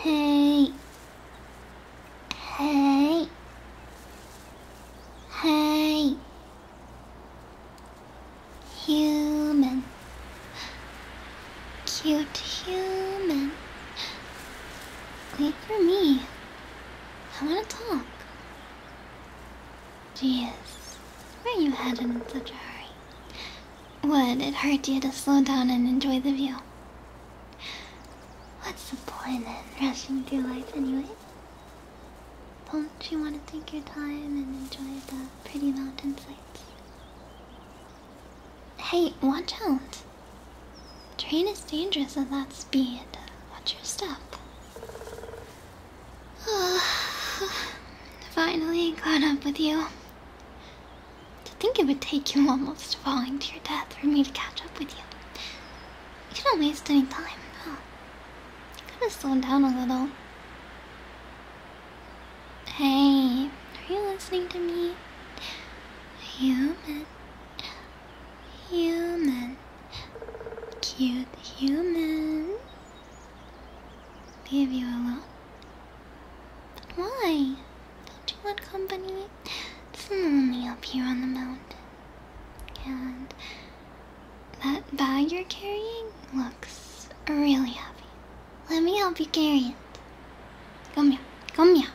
Hey. Hey. Hey. Human. Cute human. Wait for me. I want to talk. Jeez, where you headed in such a hurry? Would it hurt you to slow down and enjoy the view? What's the point in rushing through life anyway? Don't you want to take your time and enjoy the pretty mountain sights? Hey, watch out! Train is dangerous at that speed. Watch your step. Finally caught up with you. To think it would take you almost falling to your death for me to catch up with you. You don't waste any time, huh? You could have slowed down a little. Hey, are you listening to me? Human. Human. Cute human. Leave you alone? Why? Don't you want company? It's lonely up here on the mountain. And that bag you're carrying looks really heavy. Let me help you carry it. Come here. Come here.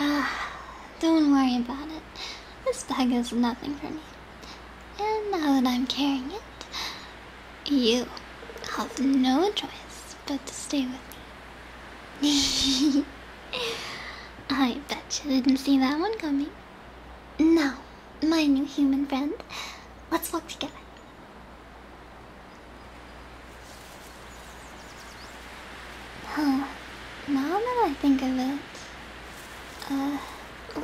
Ah, don't worry about it. This bag is nothing for me. And now that I'm carrying it, you have no choice but to stay with me. I bet you didn't see that one coming. No, my new human friend, let's walk together. Huh. Now that I think of it, uh,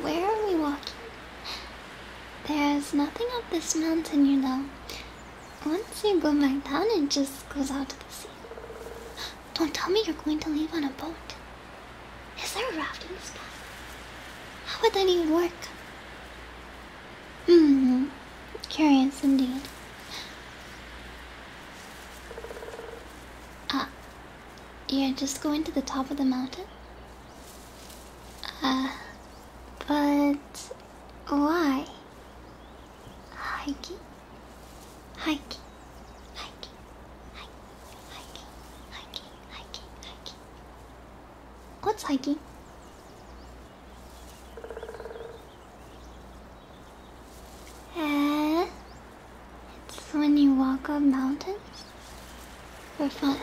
where are we walking? There's nothing up this mountain, you know. Once you go back down, it just goes out to the sea. Don't tell me you're going to leave on a boat. Is there a raft in the spot? How would that even work? Hmm. Curious indeed. Ah, you're just going to the top of the mountain? Uh, but why? Hiking? Hiking? Hiking? Hiking? Hiking? Hiking? Hiking? What's hiking? Eh? It's when you walk up mountains for fun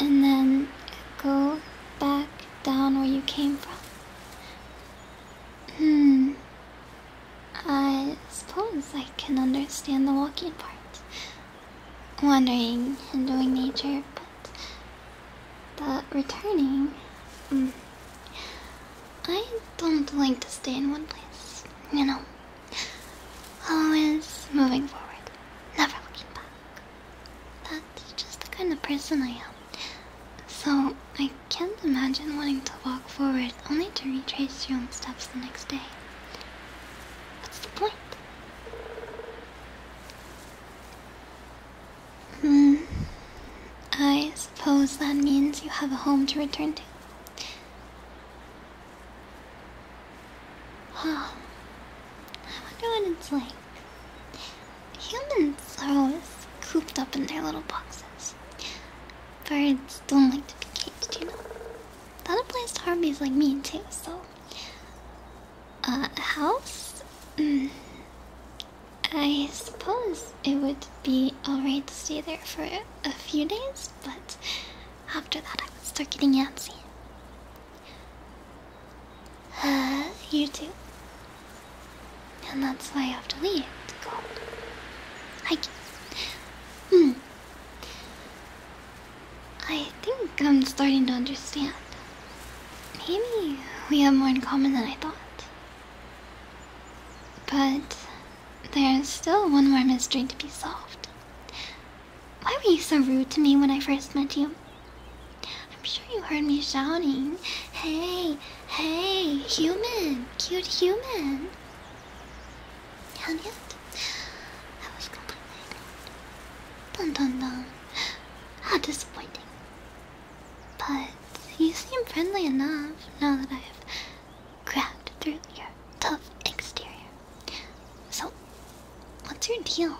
and then go back down where you came from. Hmm. I suppose I can understand the walking part. Wandering, and doing nature, but, but returning. Hmm. I don't like to stay in one place, you know. Always moving forward, never looking back. That's just the kind of person I am. So I can't imagine wanting to walk forward only to retrace your own steps the next day. What's the point? Hmm. I suppose that means you have a home to return to. Huh. I wonder what it's like. Humans are always cooped up in their little boxes. Birds don't like to be caged, you know. That applies to harpies like me too, so... Uh, a house? Mm. I suppose it would be alright to stay there for a few days, but after that I would start getting antsy. Uh, you too. And that's why I have to leave to Hmm. I think I'm starting to understand. Maybe we have more in common than I thought. But there's still one more mystery to be solved. Why were you so rude to me when I first met you? I'm sure you heard me shouting, Hey, hey, human, cute human. And yet, I was completely ignored. Dun dun dun. How disappointing. But you seem friendly enough now that I've cracked through your tough exterior. So, what's your deal?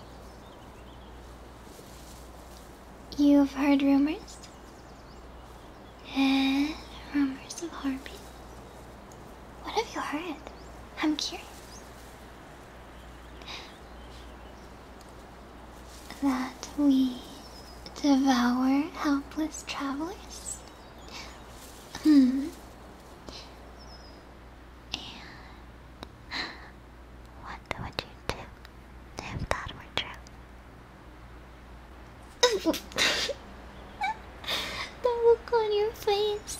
You've heard rumors? Eh, rumors of Harvey? What have you heard? I'm curious that we devour helpless travelers? Hmm. And what would you do if that were true? the look on your face.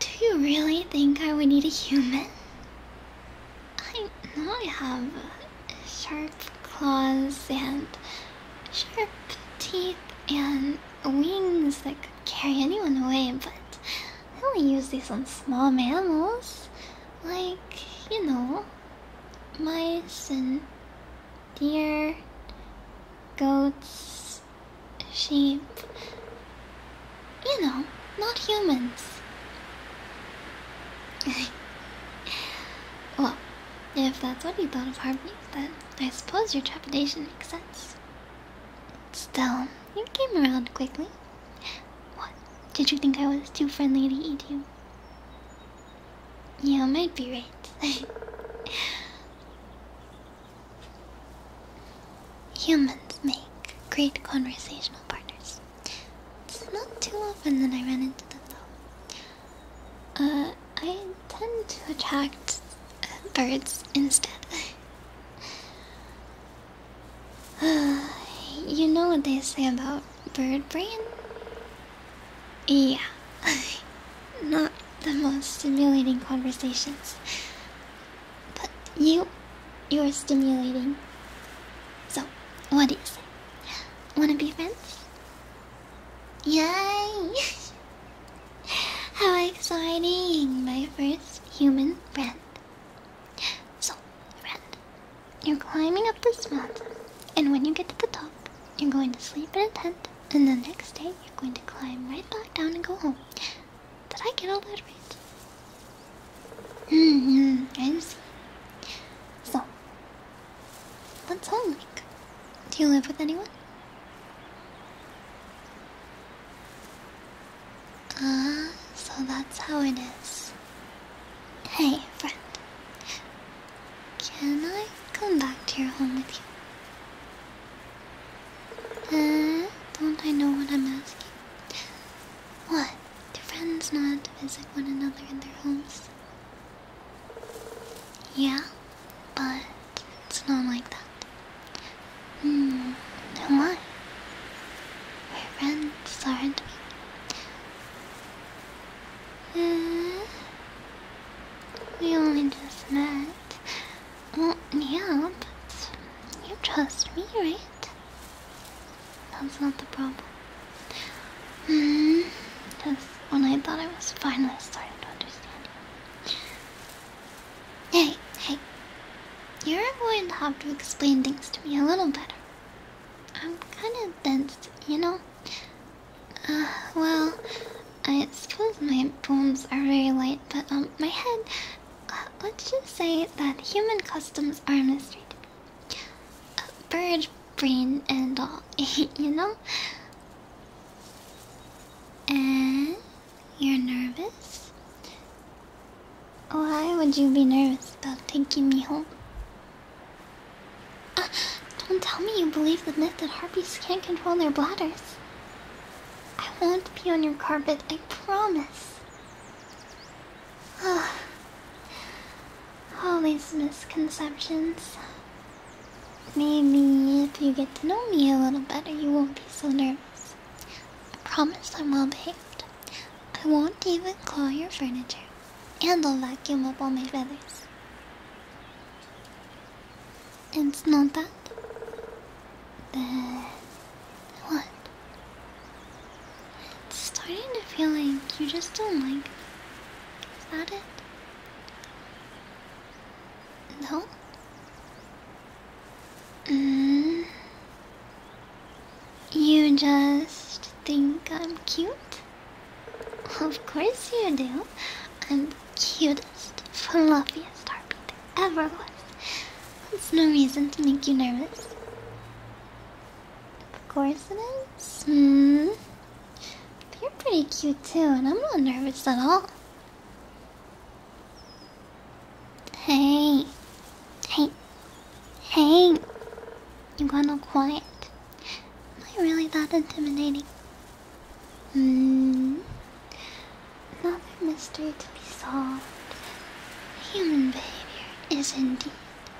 Do you really think I would need a human? I know I have sharp claws and sharp teeth and wings that could carry anyone away, but I only use these on small mammals. Like, you know, mice and deer, goats, sheep. You know, not humans. well, if that's what you thought of Harvey, then I suppose your trepidation makes sense. Still, you came around quickly. What? Did you think I was too friendly to eat you? You might be right. Humans make great conversational partners. It's not too often that I run into them though. I tend to attract uh, birds instead. Uh, you know what they say about bird brain? Yeah, not the most stimulating conversations. But you, you're stimulating. So, what do you say? Wanna be friends? Yay! How exciting! My first human friend. So, friend, you're climbing up this mountain, and when you get to the top, you're going to sleep in a tent, and the next day, you're going to climb right back down and go home. Did I get all that right? Mm hmm, I see. So, What's home like? Do you live with anyone? Ah, so that's how it is. Hey, friend. Can I come back to your home with you? Uh, don't I know what I'm asking? What? Do friends not visit one another in their homes? Yeah, but it's not like that. Hmm, and why? Her friends aren't me. Uh, we only just met. Well, yeah, but you trust me, right? That's not the problem. Mm hmm. Because when I thought I was finally starting to understand you. Hey, hey. You're going to have to explain things to me a little better. I'm kind of dense, you know? Uh, well, I suppose my poems are very light, but um, my head, uh, let's just say that human customs are a mystery A bird brain and all, you know? And you're nervous? Why would you be nervous about taking me home? Uh, don't tell me you believe the myth that harpies can't control their bladders. I won't pee on your carpet, I promise. Oh, all these misconceptions. Maybe if you get to know me a little better, you won't be so nervous. I promise I'm well behaved. I won't even claw your furniture, and I'll vacuum up all my feathers. It's not that. Then. What? It's starting to feel like you just don't like me. Is that it? No? Mm. You just think I'm cute? Of course you do. I'm the cutest, fluffiest heartbeat ever was. That's no reason to make you nervous. Of course it is. Mm. You're pretty cute too, and I'm not nervous at all. Hey, hey, hey, you got to quiet. Am I really that intimidating? Hmm, another mystery to be solved. Human behavior is indeed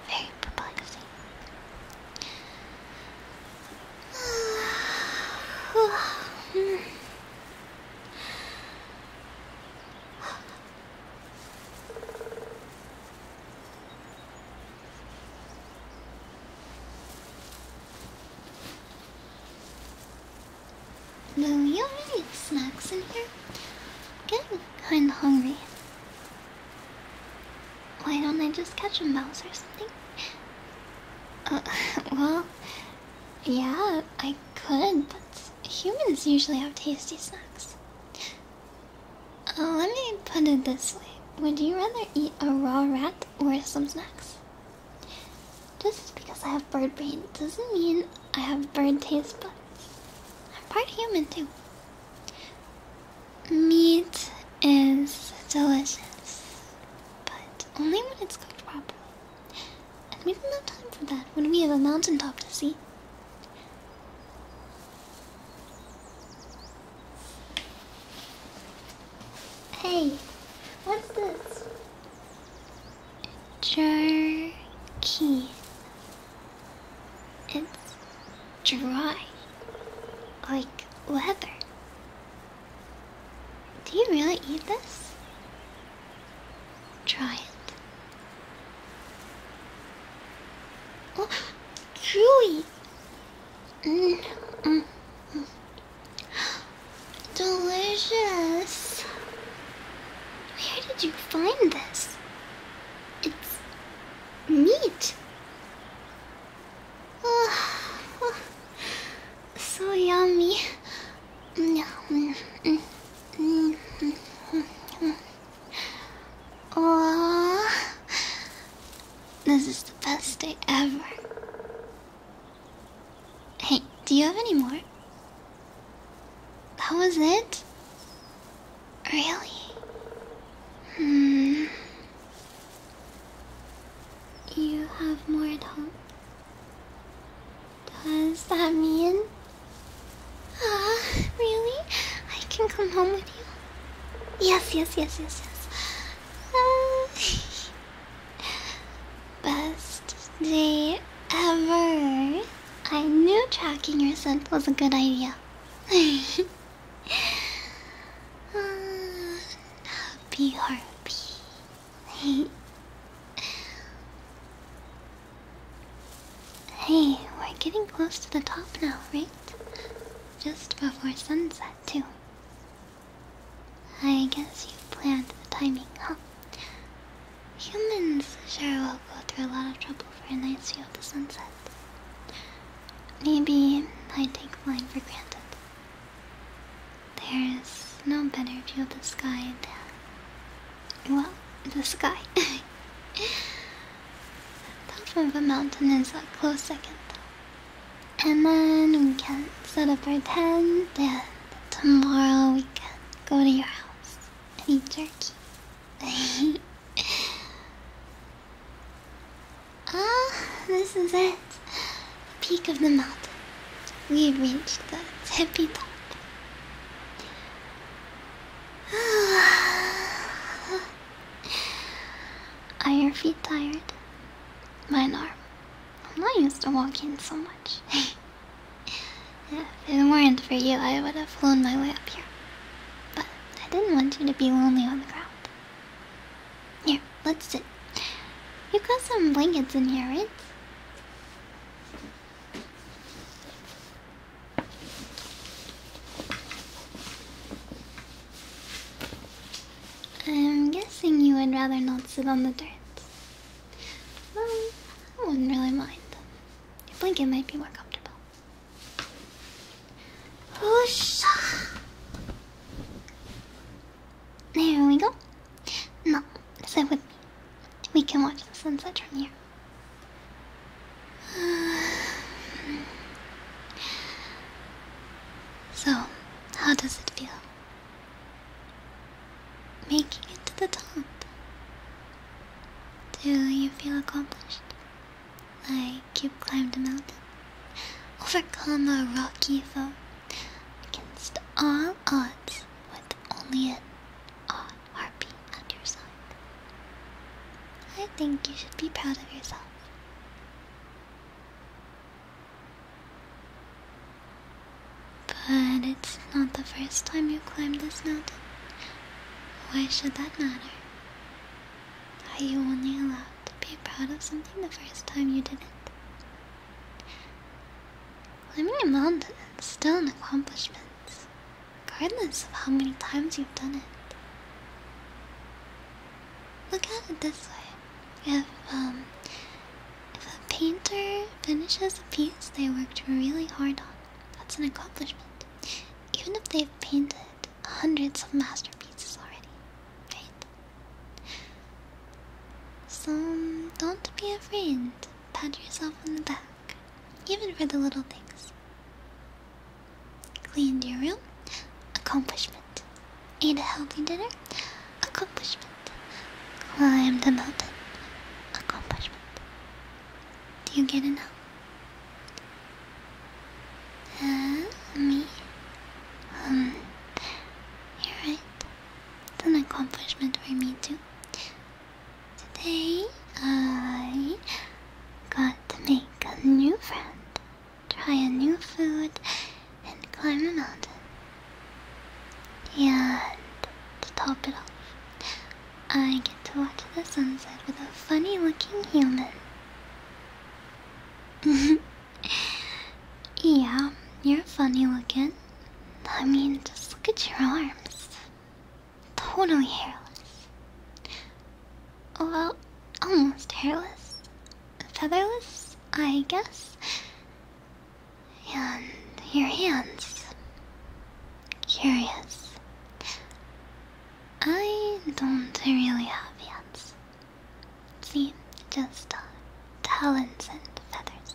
very proposing. Lou, you already have snacks in here? I'm getting kinda hungry. Why don't I just catch a mouse or something? Uh, well, yeah, I could, but humans usually have tasty snacks. Uh, let me put it this way. Would you rather eat a raw rat or some snacks? Just because I have bird brain doesn't mean I have bird taste buds. I'm part human too. Meat is delicious, but only when it's cooked properly. And we don't have time for that when we have a mountaintop to see. Hey, what's this? Jerky. It's dry, like leather. Do you really eat this? Try it. Oh, chewy! Mm, mm, mm. Delicious! Where did you find this? It's meat. Oh, so yummy. Oh, this is the best day ever. Hey, do you have any more? That was it? Really? Hmm. You have more at home? Does that mean? Ah, really? I can come home with you? Yes, yes, yes, yes, yes. Uh, best day ever. I knew tracking your scent was a good idea. happy harpy. hey, we're getting close to the top now, right? Just before sunset, too. I guess you planned the timing, huh? Humans sure will go through a lot of trouble for a nice view of the sunset. Maybe I take mine for granted. There's no better view of the sky than. well, the sky. the top of a mountain is a close second. And then we can set up our tent, and tomorrow we can go to your house and eat jerky. ah, this is it. The peak of the mountain. We reached the tippy top. Are your feet tired? Mine are. I'm not used to walking so much. if it weren't for you, I would have flown my way up here. But I didn't want you to be lonely on the ground. Yeah, let's sit. You have got some blankets in here, right? I'm guessing you would rather not sit on the dirt. Well, I wouldn't really mind. Your blanket might be more comfortable. There we go. No, sit with me. We can watch the sunset from here. So, how does it feel? Making it to the top. Do you feel accomplished? I cube climbed the mountain, overcome a rocky foe, against all odds, with only an odd harpy at your side. I think you should be proud of yourself. But it's not the first time you have climbed this mountain. Why should that matter? Are you only allowed to be proud of something the first time you did it. Climbing mountains is still an accomplishment, regardless of how many times you've done it. Look at it this way. If, um, if a painter finishes a piece they worked really hard on, that's an accomplishment. Even if they've painted hundreds of masterpieces already, right? So don't be afraid. Pat yourself on the back, even for the little things. Cleaned your room, accomplishment. Ate a healthy dinner, accomplishment. Climbed the mountain, accomplishment. Do you get it now? me? Um, you're right. It's an accomplishment for me too. Today, I got to make a new friend, try a new food, and climb a mountain. And to top it off, I get to watch the sunset with a funny looking human. yeah, you're funny looking. I mean, just look at your arms. Totally hairless. Well, almost hairless. Featherless, I guess. And your hands. Curious. I don't really have hands. See, just uh, talons and feathers.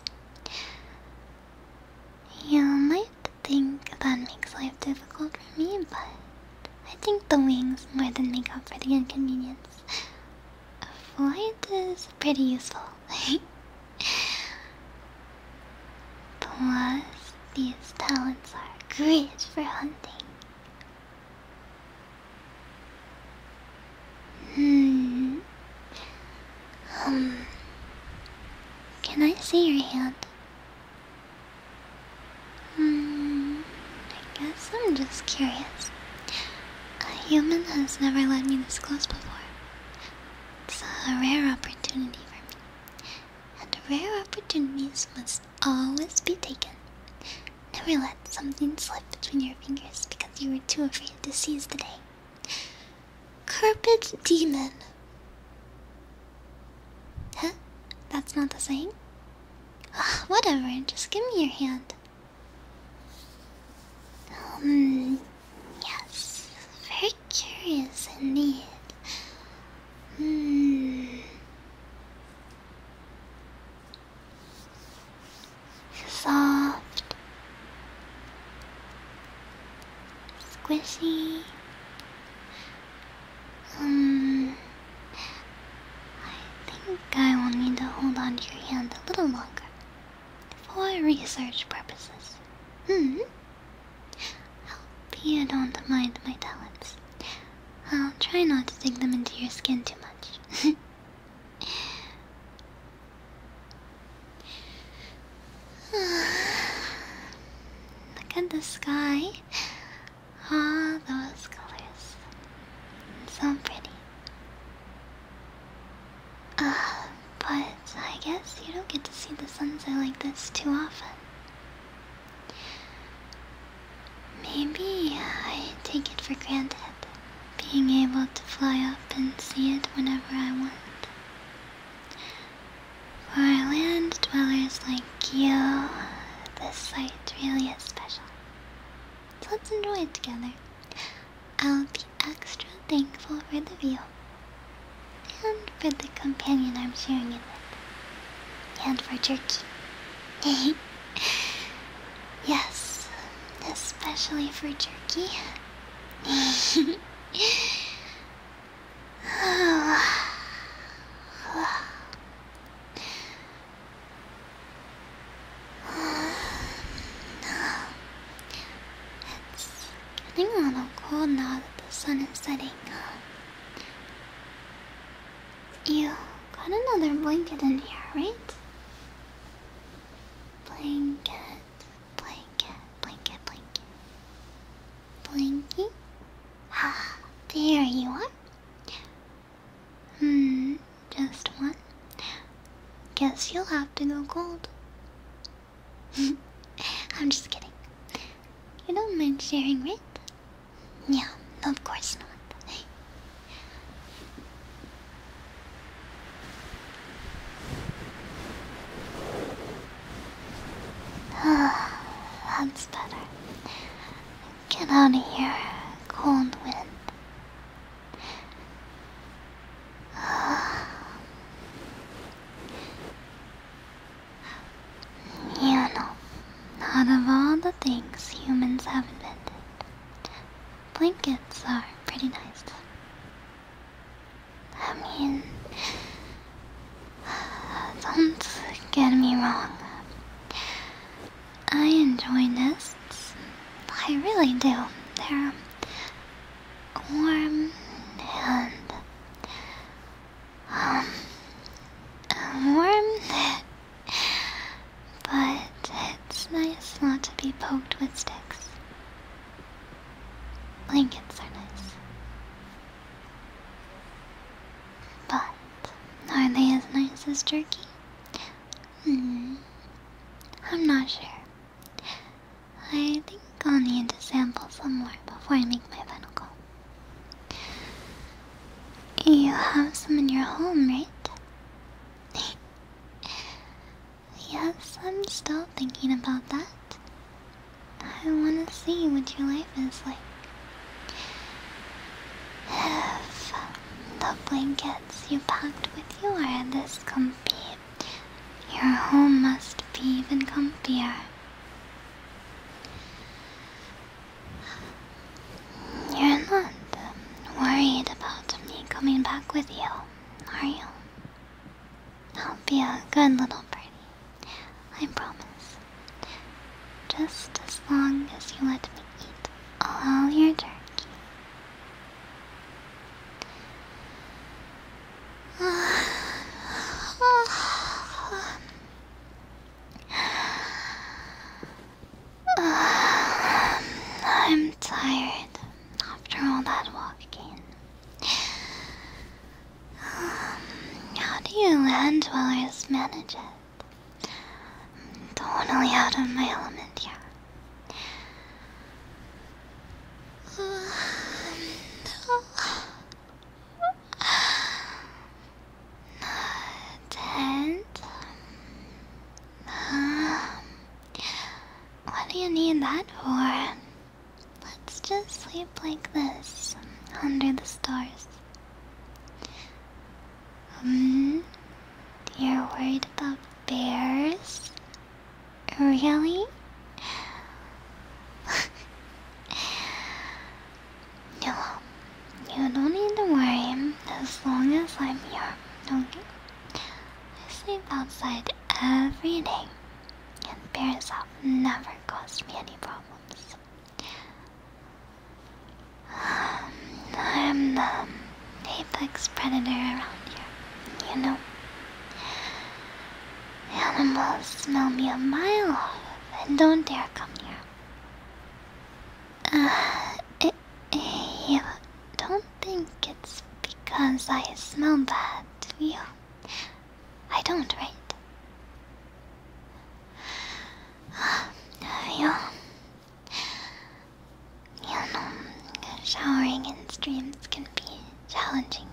You might think that makes life difficult for me, but I think the wings more than make up for the inconvenience. Flight is pretty useful. Plus, these talons are great for hunting. Hmm. Um, can I see your hand? Hmm. I guess I'm just curious. A human has never let me this close before. It's a rare opportunity for me. And rare opportunities must always be taken. Never let something slip between your fingers because you were too afraid to seize the day. Carpet demon. Huh? That's not the saying? Ah, whatever, just give me your hand. Um, yes. Very curious indeed. Hmm soft, squishy. Um, I think I will need to hold on to your hand a little longer for research purposes. Hmm. Hope you don't mind my talents. I'll try not to dig them into your skin too much. Look at the sky. All those colors. So pretty. Uh, but I guess you don't get to see the sunset like this too often. Maybe I take it for granted being able to fly up and see it whenever I want. For land dwellers like you, this site really is special. let's enjoy it together. I'll be extra thankful for the view and for the companion I'm sharing it with, and for Turkey. yes, especially for jerky. It's getting a little cold now that the sun is setting. You got another blanket in here, right? Blanket, blanket, blanket, blanket. Blanket? Ah, there you are. Hmm, just one. Guess you'll have to go cold. I'm just kidding. You don't mind sharing, right? Yeah, of course not. That's better. Get out of here, cold wind. You know, out of all the things humans have invented, blankets are pretty nice. I mean, don't get me wrong. I enjoy nests. I really do. They're warm and um, warm but it's nice not to be poked with sticks. Blankets are nice. But are they as nice as jerky? Hmm. I'm not sure. I think I'll need to sample some more before I make my final call. You have some in your home, right? yes, I'm still thinking about that. I want to see what your life is like. If the blankets you packed with you are this comfy, your home must be even comfier. You're not worried about me coming back with you, are you? I'll be a good little birdie. I promise. Just as long as you let me eat all your turkey. I'm tired after all that walking. Um, how do you land dwellers manage it? I'm totally out of my element here. Tent? Uh, what do you need that for? Let's just sleep like this, under the stars. Hmm? You're worried about bears? Really? No, you don't need to worry as long as I'm here, don't you? I sleep outside every day, and parents have never caused me any problems. I'm the apex predator around here, you know. Animals smell me a mile off and don't dare come near. Uh, Eh, eh, you don't think it's because I smell bad, do you? I don't, right? You, you know, showering in streams can be challenging.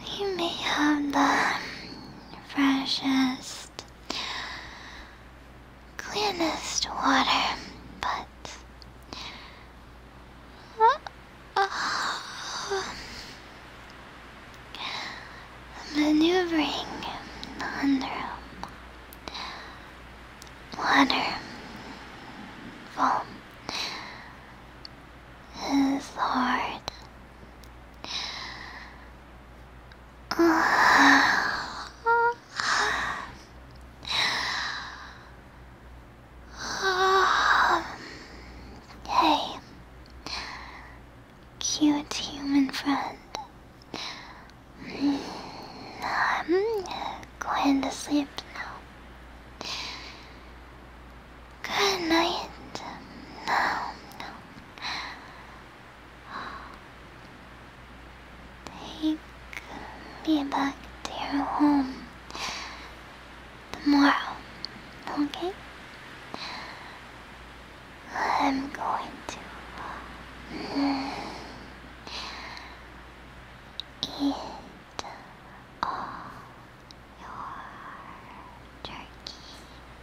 We may have the freshest cleanest, water, but uh, maneuvering under water foam is hard. hey, cute human friend. Hmm, I'm going to sleep now. Good night. No, no. Take me back to your home tomorrow, okay? I'm going to mm, eat all your turkey.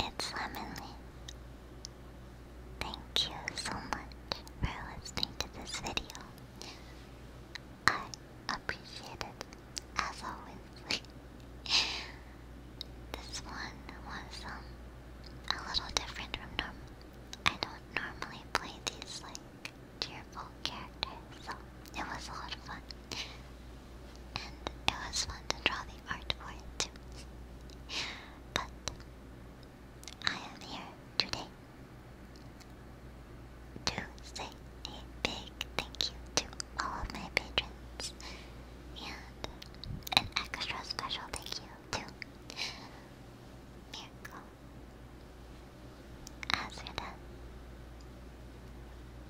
Hey, it's Lemony. Thank you so much for listening to this video. I appreciate it, as always. this one was um, a little different from normal. I don't normally play these like cheerful characters, so it was a lot of fun. And it was fun to draw the art for it too. But I am here today to say a big thank you to all of my patrons and an extra special thank you to Miracle, Azurda,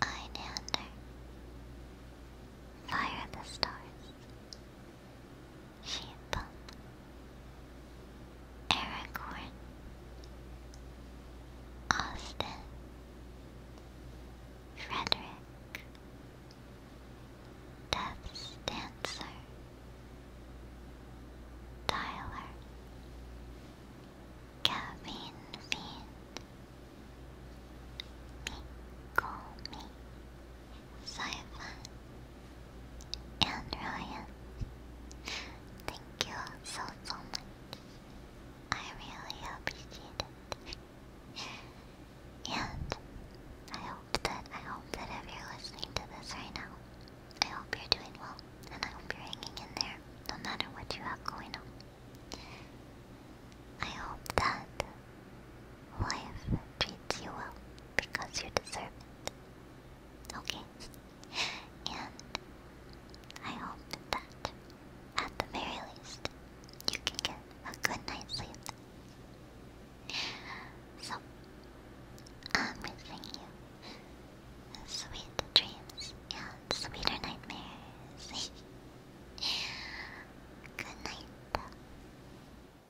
Ineander, Fire in the Stars, Sheeple Aragorn Austin Frederick Death's Dancer Tyler Gavin Fiend Michael Meek Simon, and Ryan. Thank you so, so much. I really appreciate it. and I hope that I hope that if you're listening to this right now, I hope you're doing well, and I hope you're hanging in there, no matter what you have going on. I hope that Life treats you well because you deserve it. Okay? And I hope that at the very least you can get a good night's sleep. So, I'm wishing you sweet dreams and sweeter nightmares. good night.